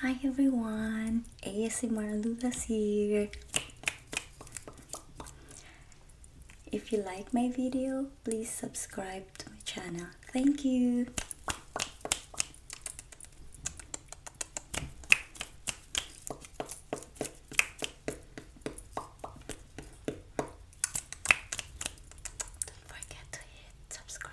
Hi everyone, ASMR Lulas here. If you like my video, please subscribe to my channel. Thank you. Don't forget to hit subscribe.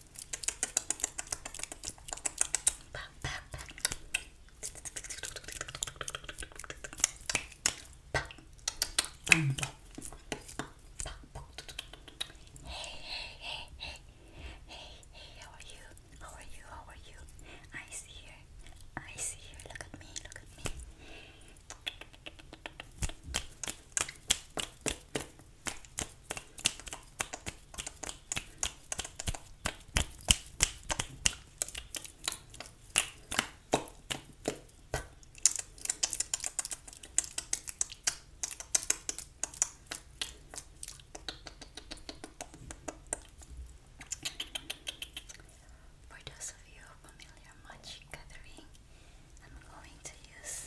Hey, hey, hey, hey, hey, hey, how are you? How are you? How are you? I see you. I see you. Look at me, look at me. For those of you familiar much gathering, I'm going to use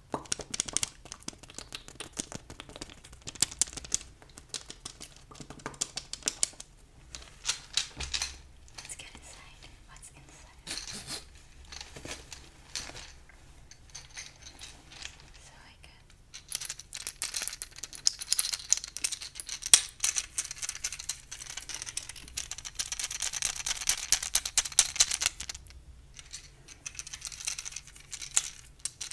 Let's get inside. What's inside? So I got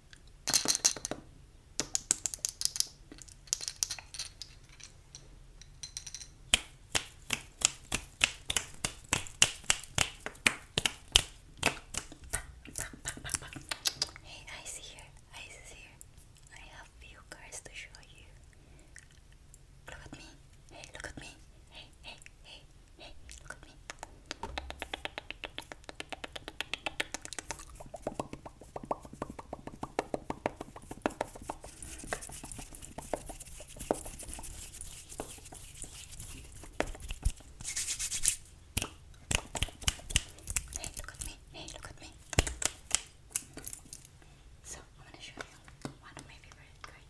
Hey, I see here, I see here. I have few cards to show you. Look at me. Hey, look at me. Hey, hey, hey. Hey, look at me. Hey, look at me. Hey, look at me. So, I'm going to show you one of my favorite guys.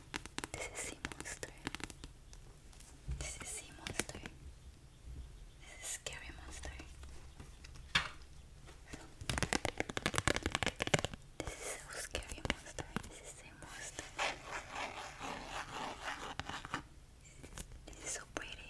This is sea monster. This is sea monster. This is scary monster. This is so scary monster. This is sea monster. This is so pretty.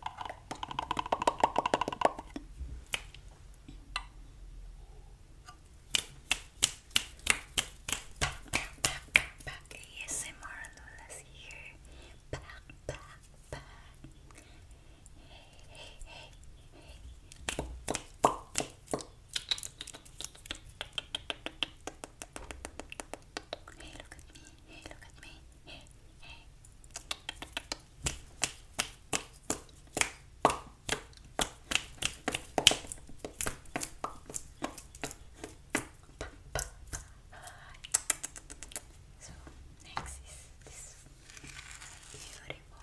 Back, back, back, ASMR Lola's here. Back, back, back. Hey, hey, hey, hey. Hey, look at me. Hey, look at me. Hey, hey. So next is beautiful, beautiful, beautiful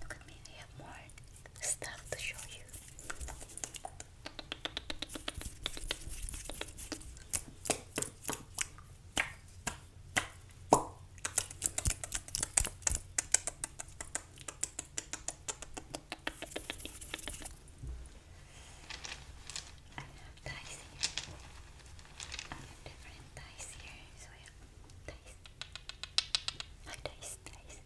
Look at me, I have more stuff to show you. I have ties here. I have different ties here. So I have ties. I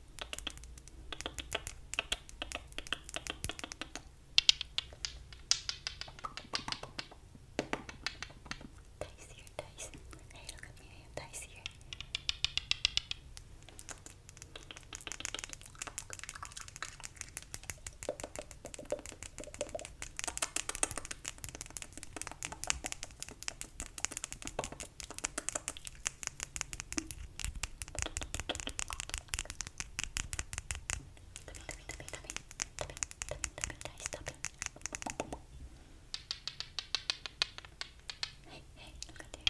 Dice here, dice. Hey, look at me, I have dice here. Hey, hey, look at there. Hey,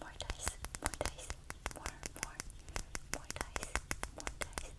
More dice, more dice, more, more, more dice, more dice.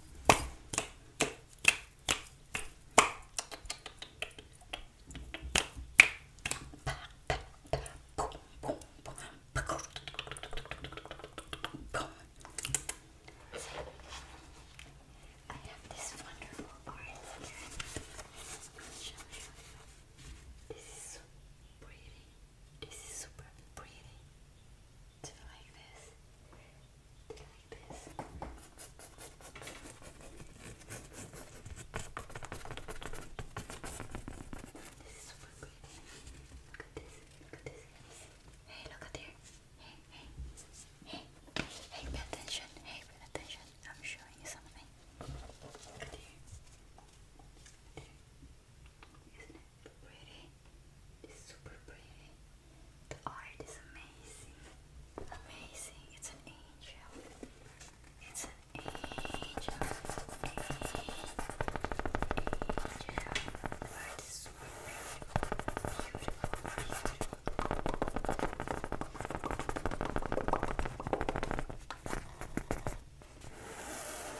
I have this wonderful orange here. This is so pretty. This is super pretty. Do it like this. Do it like this. This is super pretty. Look at this. Look at this. Hey, look at here. Hey, hey. Hey. Hey, pay attention. Hey, pay attention. I'm showing you something. Look at here. Look at here. Look at here. Isn't it pretty? It's super pretty. The art is amazing. Amazing. It's an angel. It's an angel. Angel. Angel. The art is super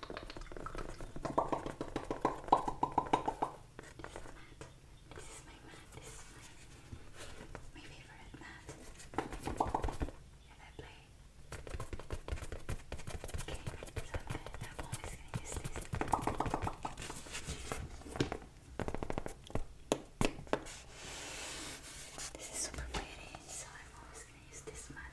This is my mat. This is my, my favorite mat. If I play. Okay, so I'm, gonna, I'm always gonna use this. This is super pretty, so I'm always gonna use this mat.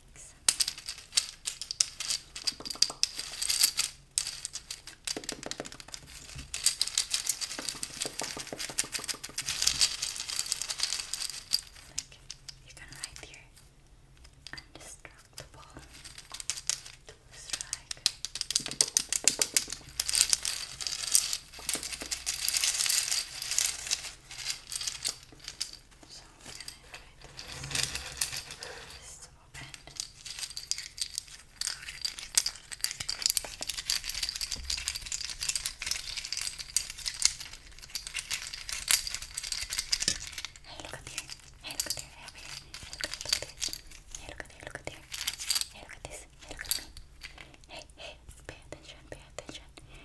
likes. Like you can write here undestructible strike. So we're gonna try to just this to open. Hey, look up here. Hey, look up there. Hey, over here. Hey, look at there. Hey, look at there. Hey, look at this. Hey, look at me. Hey, hey, pay attention, pay attention.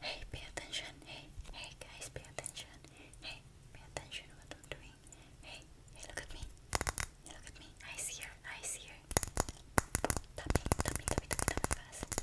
Hey, pay attention. Hey, hey guys, pay attention. Hey, pay attention what I'm doing. Hey, hey, look at me. Hey, look at me. Eyes here, eyes here. Tap me, tap me, tap me, fast.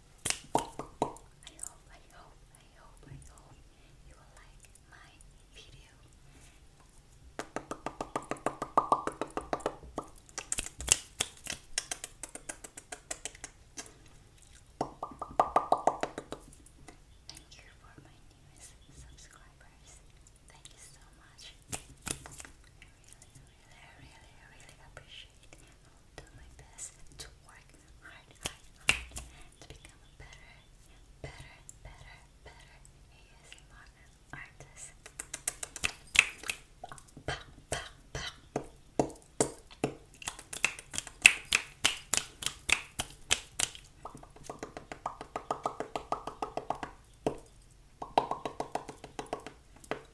I hope, I hope, I hope, I hope you will like my video. Thank you for my newest subscribers. Thank you so much. I really, really, really, really appreciate do my best to work hard, hard, hard to become a better, better, better, better ASMR artist.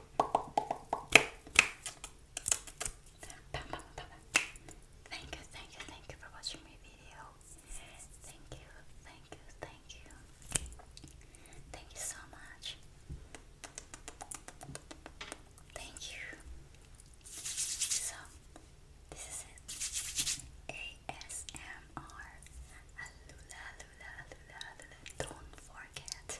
Thank you, thank you, thank you for watching my video. Thank you, thank you, thank you. Thank you so much. Thank you. So, this is ASMR. Alula, lula, lula, lula. Don't forget.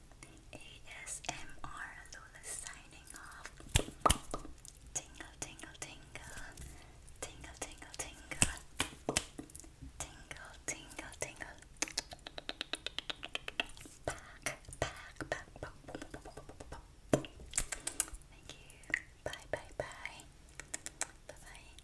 ASMR Lula signing off. Tingle, tingle, tingle. Tingle, tingle, tingle. Tingle, tingle, tingle. Thank you. Bye, bye, bye. Bye, bye.